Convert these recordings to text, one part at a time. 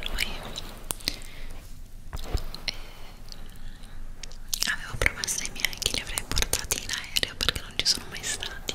lui e eh, avevo promesso ai miei che li avrei portati in aereo perché non ci sono mai stati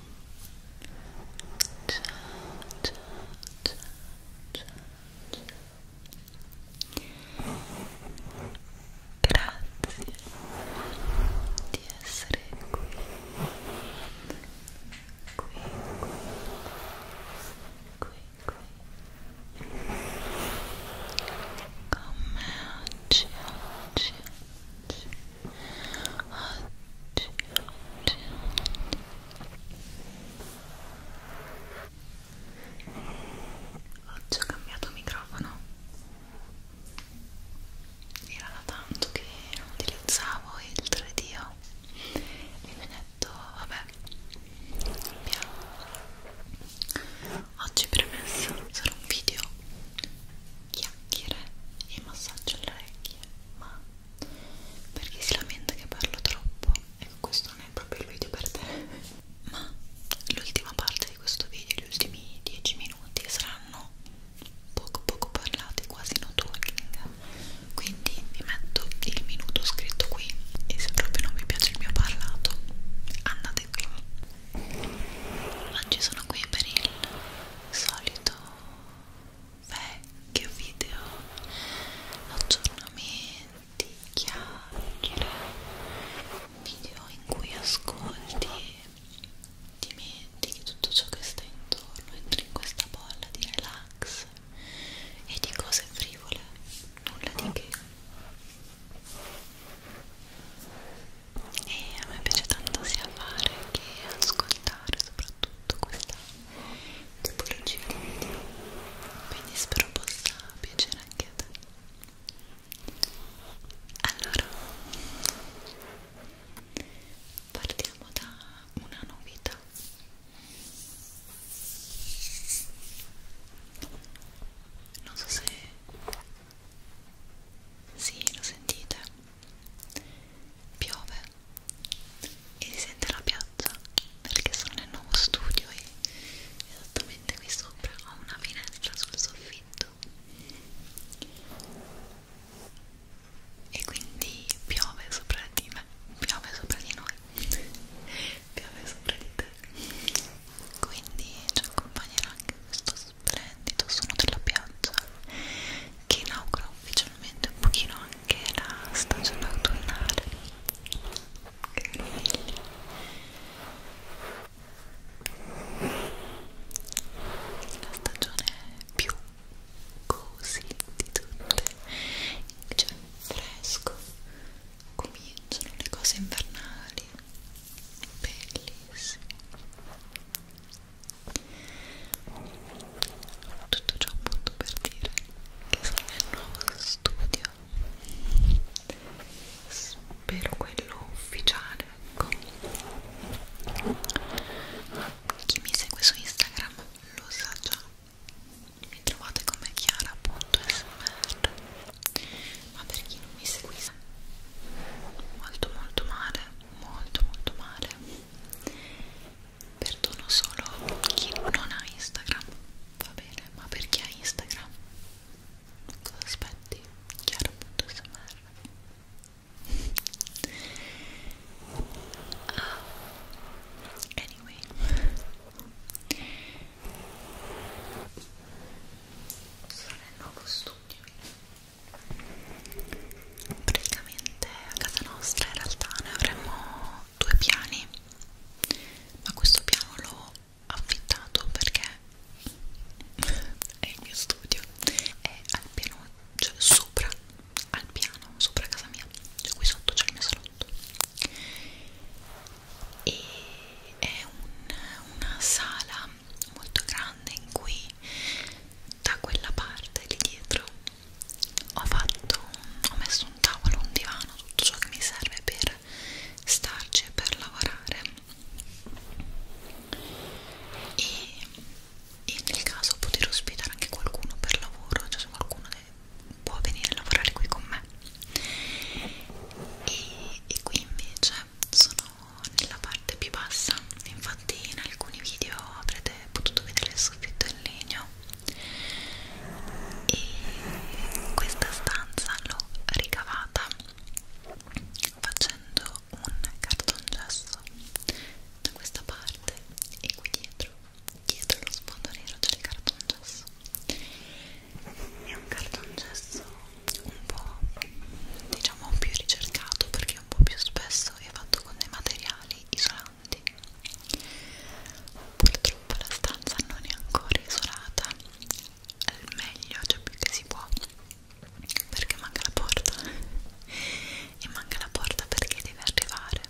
ciao, ciao, ciao, ciao, ciao. Grazie di essere qui, qui, qui, qui, qui. Con me oggi, oggi, oggi oggi, oggi, oggi ho cambiato microfono era da tanto che non utilizzavo il 3D e mi ho detto vabbè cambiamo oggi premesso sarà un video chiacchiere e massaggio alle orecchie ma perché si lamenta che parlo troppo ecco questo non è proprio il video per te ma l'ultima parte di questo video gli ultimi 10 minuti saranno poco poco parlati quasi no talking quindi vi metto il minuto scritto qui e se proprio non vi piace il mio parlato andate qui oggi sono qui per il solito vecchio video aggiornamenti, chiacchiere video in cui ascolti e dimentichi tutto ciò che sta intorno entri in questa bolla di relax e di cose frivole nulla di che e a me piace tanto sia fare che ascoltare soprattutto questa tipologie di video quindi spero possa piacere anche a te allora partiamo da una novità non so se sì, lo sentite? Piove e si sente la piazza perché sono nel nuovo studio e esattamente qui sopra ho una finestra sul soffitto e quindi piove sopra di me piove sopra di noi piove sopra di te quindi ci accompagnerà anche questo splendido suono della piazza che inaugura ufficialmente un pochino anche la stagione autunnale che meraviglia la stagione più così di tutte cioè fresco cominciano le cose invernali bellissime tutto ciò appunto per dire che sarà il nuovo studio, spero quello ufficiale, ecco. Chi mi segue su Instagram lo sa già, mi trovate come chiara.smr, ma per chi non mi seguisse molto molto male, molto molto male perdono solo chi non ha Instagram va bene ma per chi ha Instagram cosa aspetti? chiaro.smr ah, anyway sono nel nuovo studio praticamente a casa nostra in realtà ne avremmo due piani ma questo piano l'ho affittato perché è il mio studio e al piano cioè sopra al piano sopra casa mia cioè qui sotto c'è il mio salotto e è un, una sala molto grande in cui da quella parte lì dietro ho fatto un, ho messo un tavolo, un divano, tutto ciò che mi serve per starci e per lavorare e, e nel caso poter ospitare anche qualcuno per lavoro, cioè se qualcuno che può venire a lavorare qui con me e, e qui invece sono nella parte più bassa infatti in alcuni video avrete potuto vedere il soffitto in legno e questa stanza l'ho ricavata facendo un cartongesso da questa parte e qui dietro dietro lo sfondo nero c'è il cartongesso è un cartongesso un po' diciamo più ricercato perché è un po' più spesso è fatto con dei materiali isolanti importanti purtroppo la stanza non è ancora isolata al meglio, cioè più che si può perché manca la porta e manca la porta perché deve arrivare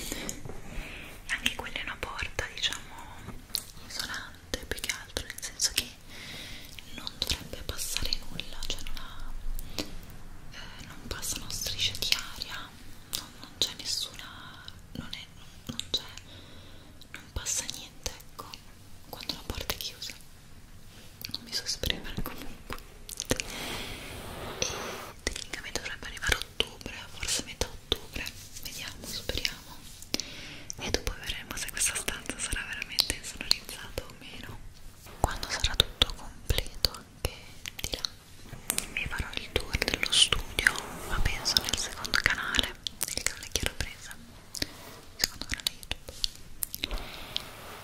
e anche quella è una porta diciamo isolante più che altro nel senso che non dovrebbe passare nulla cioè non ha eh, non passano strisce di aria non, non c'è nessuna non è non c'è non passa niente ecco quando la porta è chiusa non mi so esprimere comunque e tecnicamente dovrebbe arrivare a ottobre forse metà ottobre vediamo speriamo e dopo vedremo se questa stanza sarà veramente insonorizzata o meno quando sarà tutto completo anche di là mi farò il tour dello studio ma penso nel secondo canale nel canale che ero presa secondo canale youtube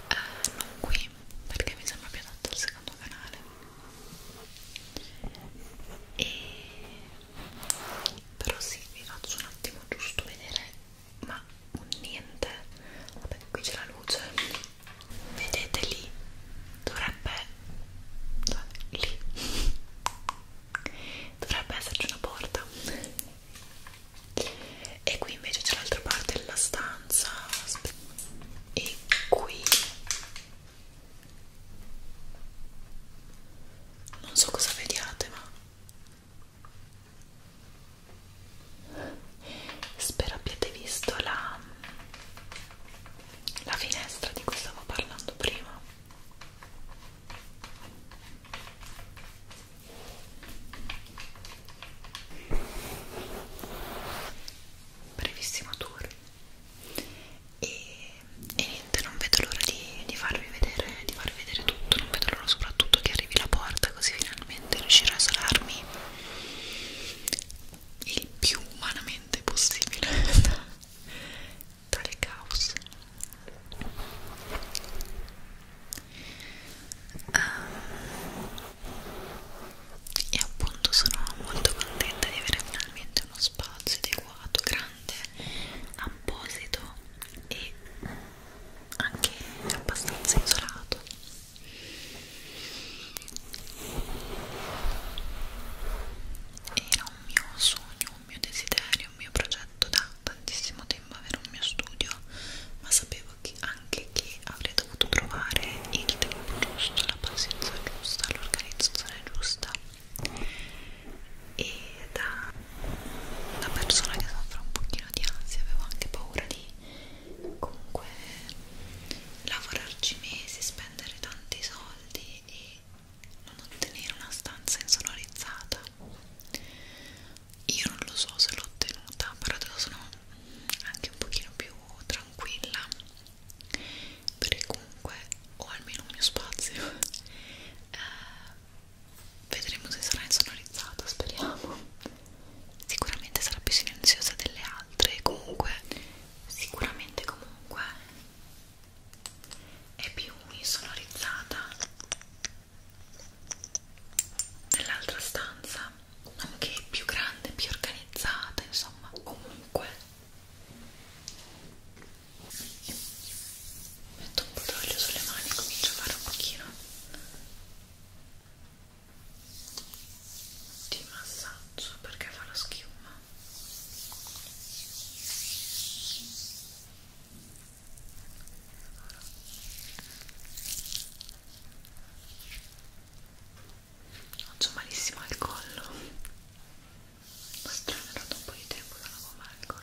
eh, non qui perché mi sembra più adatto il secondo canale e però sì vi faccio un attimo giusto vedere ma un niente vabbè qui c'è la luce vedete lì dovrebbe cioè, lì dovrebbe esserci una porta e qui invece c'è l'altra parte della stanza e qui non so cosa vediate ma spero abbiate visto la la finestra di cui stavo parlando prima brevissimo tour e, e niente non vedo l'ora di, di farvi vedere di farvi vedere tutto non vedo l'ora soprattutto che arrivi la porta così finalmente riuscirò a isolarmi il più umanamente umanamente possibile dal caos um, e appunto sono molto contenta di avere finalmente uno spazio adeguato, grande, apposito e anche abbastanza isolato era un mio sogno, un mio desiderio, un mio progetto da tantissimo tempo avere un mio studio, ma sapevo che anche che avrei dovuto trovare il tempo giusto, la pazienza giusta, l'organizzazione giusta e da, da persona che soffre un pochino di ansia avevo anche paura di comunque lavorarci mesi, spendere spendere tanti soldi e non ottenere una stanza insonorizzata io non lo so se l'ho ottenuta però adesso sono anche un pochino più tranquilla perché comunque ho almeno un mio spazio eh, vedremo se sarà insonorizzata speriamo sicuramente sarà più silenziosa delle altre comunque sicuramente comunque è più insonorizzata nell'altra stanza nonché più grande, più organizzata insomma, comunque metto un po' d'olio sulle mani e comincio a fare un pochino di massaggio perché fa la schiuma Faccio malissimo al collo. Ho stramerata un po' di tempo dalla gomma al collo.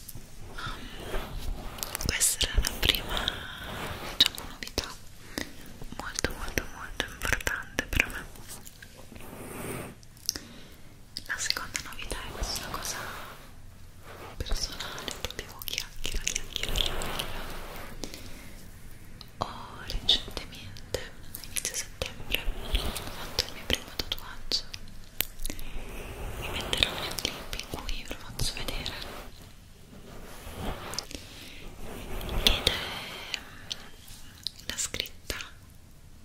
um, questa era la prima diciamo, novità molto molto molto importante per me la seconda novità è questa cosa personale proprio chiacchiera chiacchiera chiacchiera ho recentemente a inizio settembre fatto il mio primo tatuaggio mi metterò un clip in cui ve lo faccio vedere ed è la scritta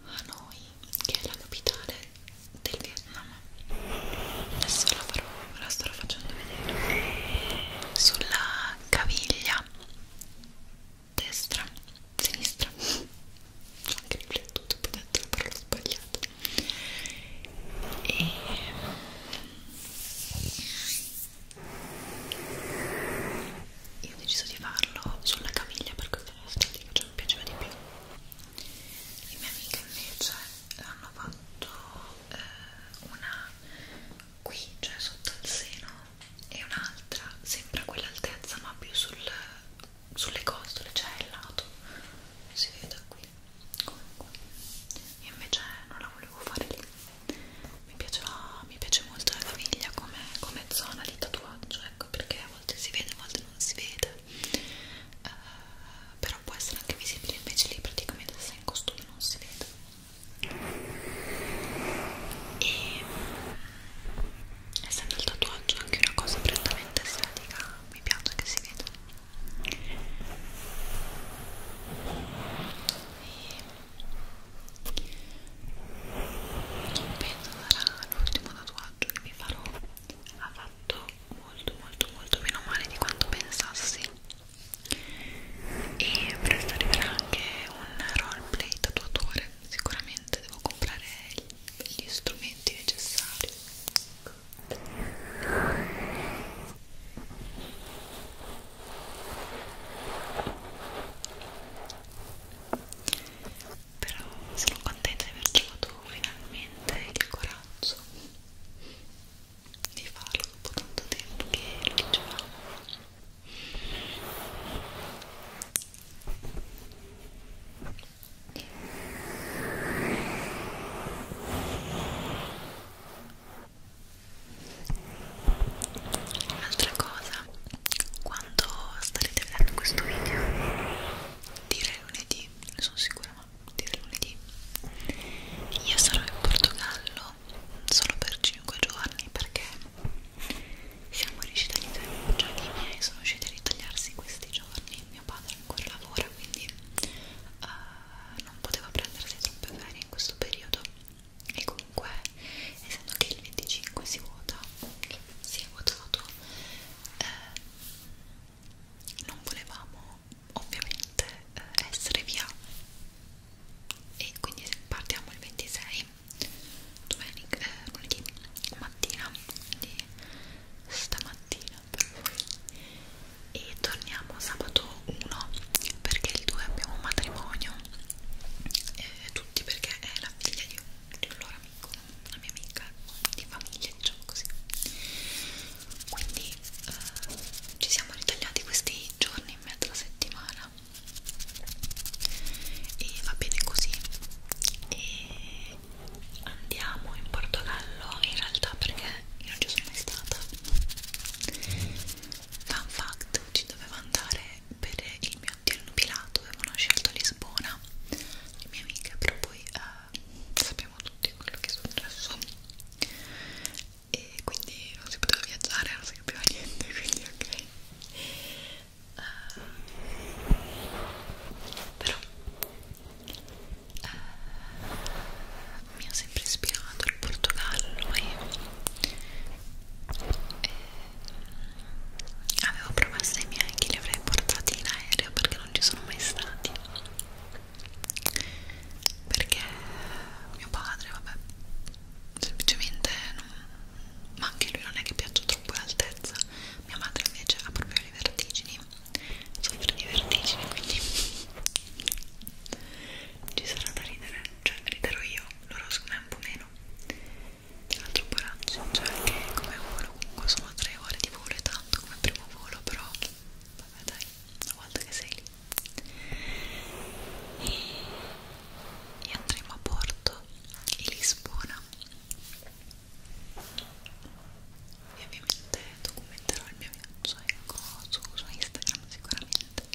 Hanoi che è la capitale del Vietnam adesso la, farò, la starò facendo vedere sulla caviglia destra sinistra ho anche riflettuto ho detto la parola sbagliata e io ho deciso di farlo sulla caviglia perché è statica cioè mi piaceva di più le mie amiche invece hanno fatto eh, una qui cioè sotto il seno e un'altra sempre a quell'altezza ma più sul, sulle costole cioè il lato si vede qui comunque io invece non la volevo fare lì mi piaceva mi piace molto la caviglia come, come zona di tatuaggio ecco perché a volte si vede a volte non si vede uh, però può essere anche visibile invece lì praticamente se sei in costume non si vede e essendo il tatuaggio anche una cosa prettamente estetica mi piace che si veda non penso sarà l'ultimo tatuaggio che vi farò ha fatto molto molto molto meno male di quanto pensassi e presto arriverà anche un roleplay tatuatore sicuramente devo comprare gli strumenti necessari però sono contenta di aver trovato finalmente il coraggio di farlo dopo tanto tempo che lo dicevamo Ora Un'altra cosa, quando starete vedendo questo video, direi lunedì, ne sono sicura, ma direi lunedì, io sarò in Portogallo solo per 5 giorni perché siamo riusciti a ritagliare, cioè i miei sono riusciti a ritagliarsi questi giorni, mio padre ancora lavora, quindi uh, non poteva prendersi troppe ferie in questo periodo e comunque essendo che il 25 si vota si è votato eh, non volevamo ovviamente eh, essere via e quindi partiamo il 26 domenica eh, lunedì mattina quindi stamattina cucina per voi e torniamo sabato 1 perché il 2 abbiamo un matrimonio eh, tutti perché è la figlia di un, di un loro amico, una mia amica di famiglia diciamo così quindi eh, ci siamo ritagliati questi giorni in mezzo alla settimana e va bene così e andiamo in Portogallo in realtà perché io non ci sono mai stata Fun fact, ci dovevo andare per il mio addio nubilato, avevano scelto Lisbona, le mie amiche, però poi eh, sappiamo tutti quello che è successo e quindi non si poteva viaggiare, non si capiva niente, quindi ok. Uh, però eh, mi ha sempre ispirato il Portogallo e, e eh, avevo promesso ai miei che li avrei portati in aereo perché non ci sono mai stati perché mio padre vabbè semplicemente non, ma anche lui non è che piaccia troppo l'altezza mia madre invece ha proprio le vertigini soffro cioè, di vertigini quindi ci sarà da ridere cioè riderò io loro secondo me un po' meno tra l'altro coraggio cioè anche come volo comunque sono 3 ore di volo e tanto come primo volo però vabbè dai una volta che sei lì e, e andremo a Porto e Lisbona e ovviamente documenterò il mio viaggio ecco, su, su Instagram sicuramente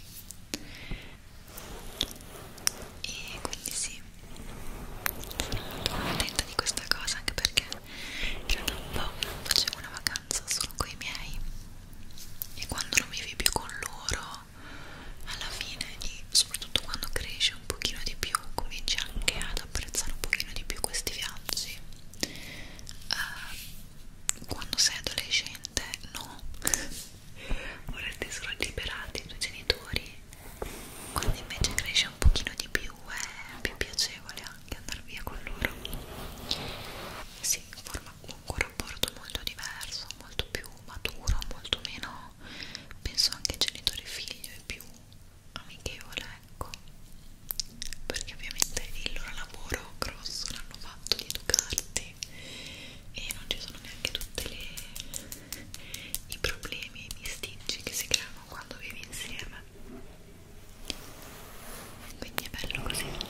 e quindi sì sono contenta di questa cosa anche perché io da un po' facevo una vacanza solo con i miei e quando non vivi più con loro alla fine e soprattutto quando cresci un pochino di più cominci anche ad apprezzare un pochino di più questi viaggi uh, quando sei adolescente no vorrete solo liberare i tuoi genitori quando invece cresce un pochino di più eh, è più piacevole anche andare via con loro si forma comunque un rapporto molto diverso molto più maturo molto meno penso anche genitore figlio è più amichevole ecco perché ovviamente il loro lavoro grosso l'hanno fatto di educarti e non ci sono neanche tutti i problemi e i bisticci che si creano quando vivi insieme quindi è bello così e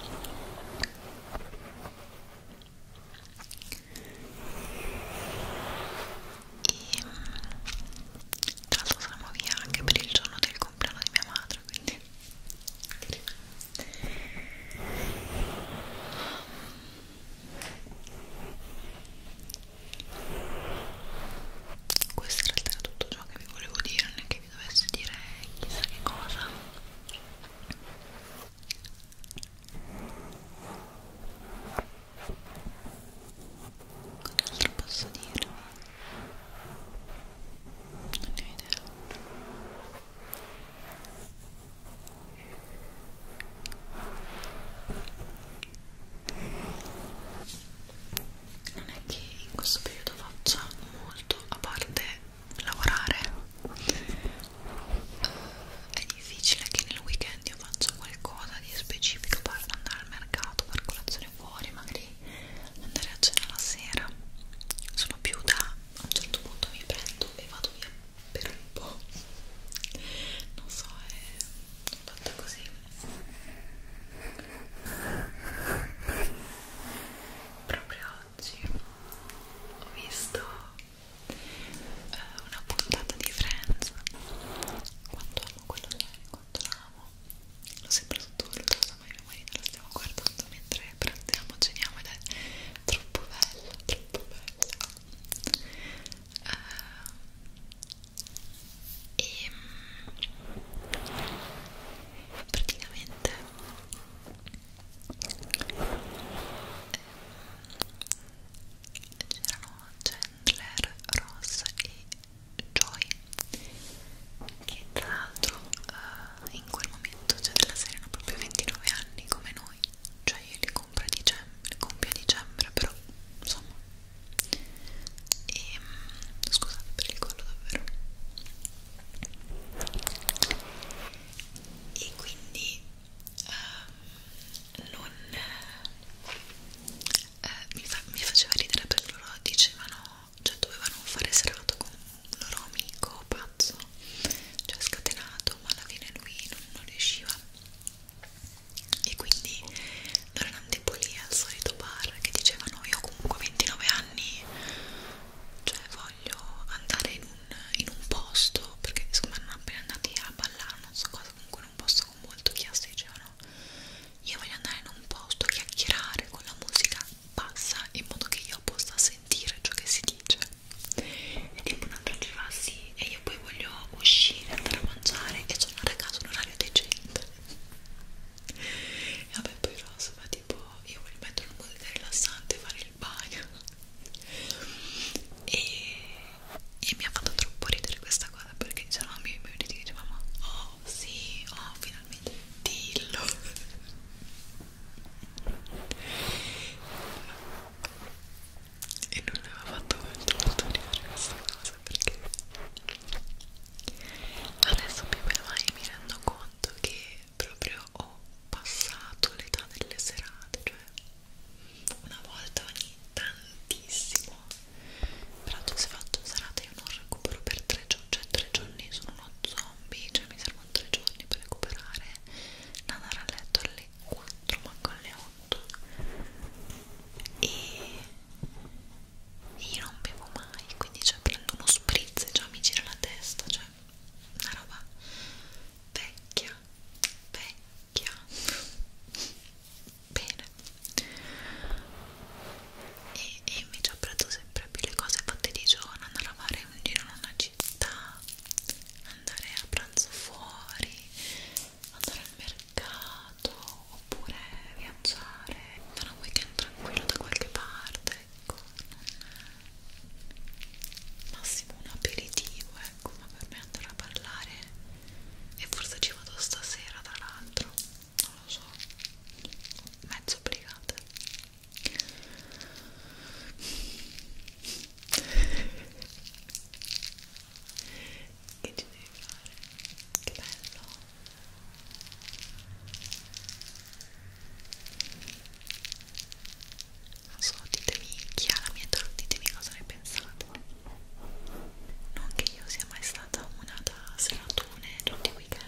mm, tra l'altro saremo via anche per il giorno del compleanno di mia madre teatro quindi questo in realtà era tutto ciò che vi volevo dire non è che vi dovessi dire chissà che cosa cosa posso dirvi non ne ho idea non è che in questo periodo faccia molto a parte lavorare è difficile che nel weekend io faccia qualcosa di specifico per andare al mercato per colazione fuori magari andare a cena la sera sono più da a un certo punto mi prendo e vado via per un po' non so è fatta così proprio oggi ho visto eh, una puntata di Friends quanto amo quello che quanto amo l'ho sempre sottovalutato mai mio marito lo stiamo guardando mentre prendiamo, ceniamo ed è troppo bella, troppo bella uh, e ehm, praticamente ehm, c'erano Chandler, Ross e Joy che tra l'altro uh, in quel momento cioè della serie hanno proprio 29 anni come noi cioè io li compro a dicembre, compio a dicembre però insomma e um, scusate per il collo davvero e quindi uh, non uh, mi, fa, mi faceva ridere per loro dicevano cioè dovevano fare serata con un loro amico pazzo cioè scatenato ma alla fine lui non, non riusciva e quindi noi eravamo tipo lì al solito bar che dicevano io comunque a 29 anni cioè voglio andare in un, in un posto perché insomma non appena andati a ballare non so cosa comunque in un posto con molto chiasso dicevano io voglio andare in un posto, chiacchierare con la musica passa in modo che io possa sentire ciò che si dice e tipo un'altra ci va sì e io poi voglio uscire andare a mangiare e sono a casa un orario decente e vabbè poi Rosa va tipo io voglio mettere una musica rilassante e fare il bagno e, e mi ha fatto troppo ridere questa cosa perché dicevano oh, i miei amici dicevamo oh sì oh finalmente dillo e non aveva fatto molto studiare questa cosa perché adesso più o mai mi rendo conto che proprio ho passato l'età delle serate cioè una volta ogni tantissimo però tu sei fatto serate io non recupero per tre giorni cioè tre giorni sono uno zombie zombie, cioè mi servono tre giorni per recuperare da andare a letto alle 4, manco alle 8 e io non bevo mai, quindi cioè prendo uno spritz e già mi gira la testa, cioè una roba vecchia, vecchia bene e e, e invece apprezzo sempre più le cose fatte di giorno, andare a fare un giro in una città, andare a pranzo fuori, andare al mercato oppure viaggiare, fare un weekend tranquillo da qualche parte, ecco, non massimo un aperitivo, ecco, ma per me andare a parlare e forse ci vado stasera tra l'altro, non lo so, mezzo obbligata che ci devi fare? Che bello! Non so, ditemi chi ha la mia età, ditemi cosa ne pensate. Non che io sia mai stata una da seratune tutti i weekend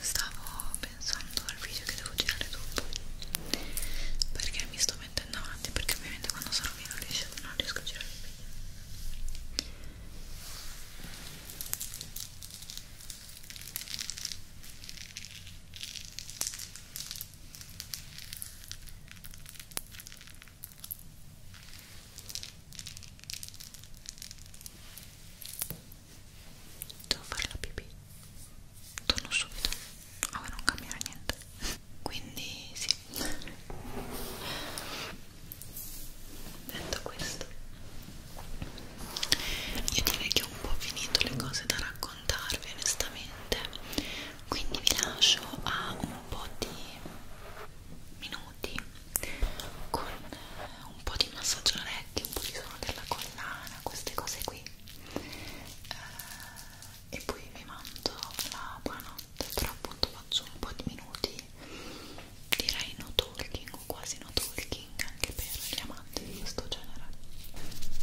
Stavo pensando al video che devo girare dopo perché mi sto mettendo avanti perché ovviamente quando sarò via non riesco, non riesco a girare il video Devo fare la pipì. Torno subito. Ora non cambierà niente. Quindi sì detto questo io direi che ho un po' finito le cose da raccontarvi onestamente quindi vi lascio a un po' di minuti con un po' di massaggio orecchio un po' di suono della collana queste cose qui eh, e poi vi mando la buonanotte però appunto faccio un po' di minuti direi no talking o quasi no talking anche per gli amanti di questo genere Ecco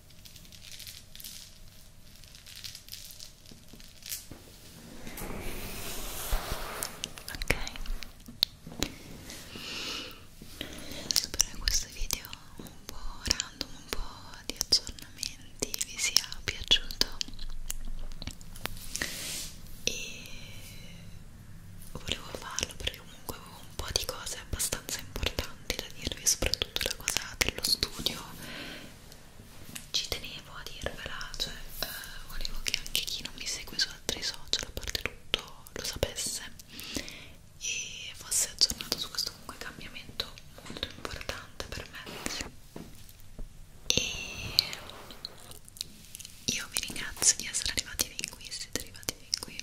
ok spero che questo video un po' random un po' di aggiornamenti vi sia piaciuto e volevo farlo per perché comunque avevo un po' di cose abbastanza importanti da dirvi, soprattutto la cosa dello studio ci tenevo a dirvela, cioè eh, volevo che anche chi non mi segue su altri social a parte tutto lo sapesse e fosse aggiornato su questo comunque cambiamento molto importante per me e io vi ringrazio di essere arrivati fin qui, siete arrivati fin qui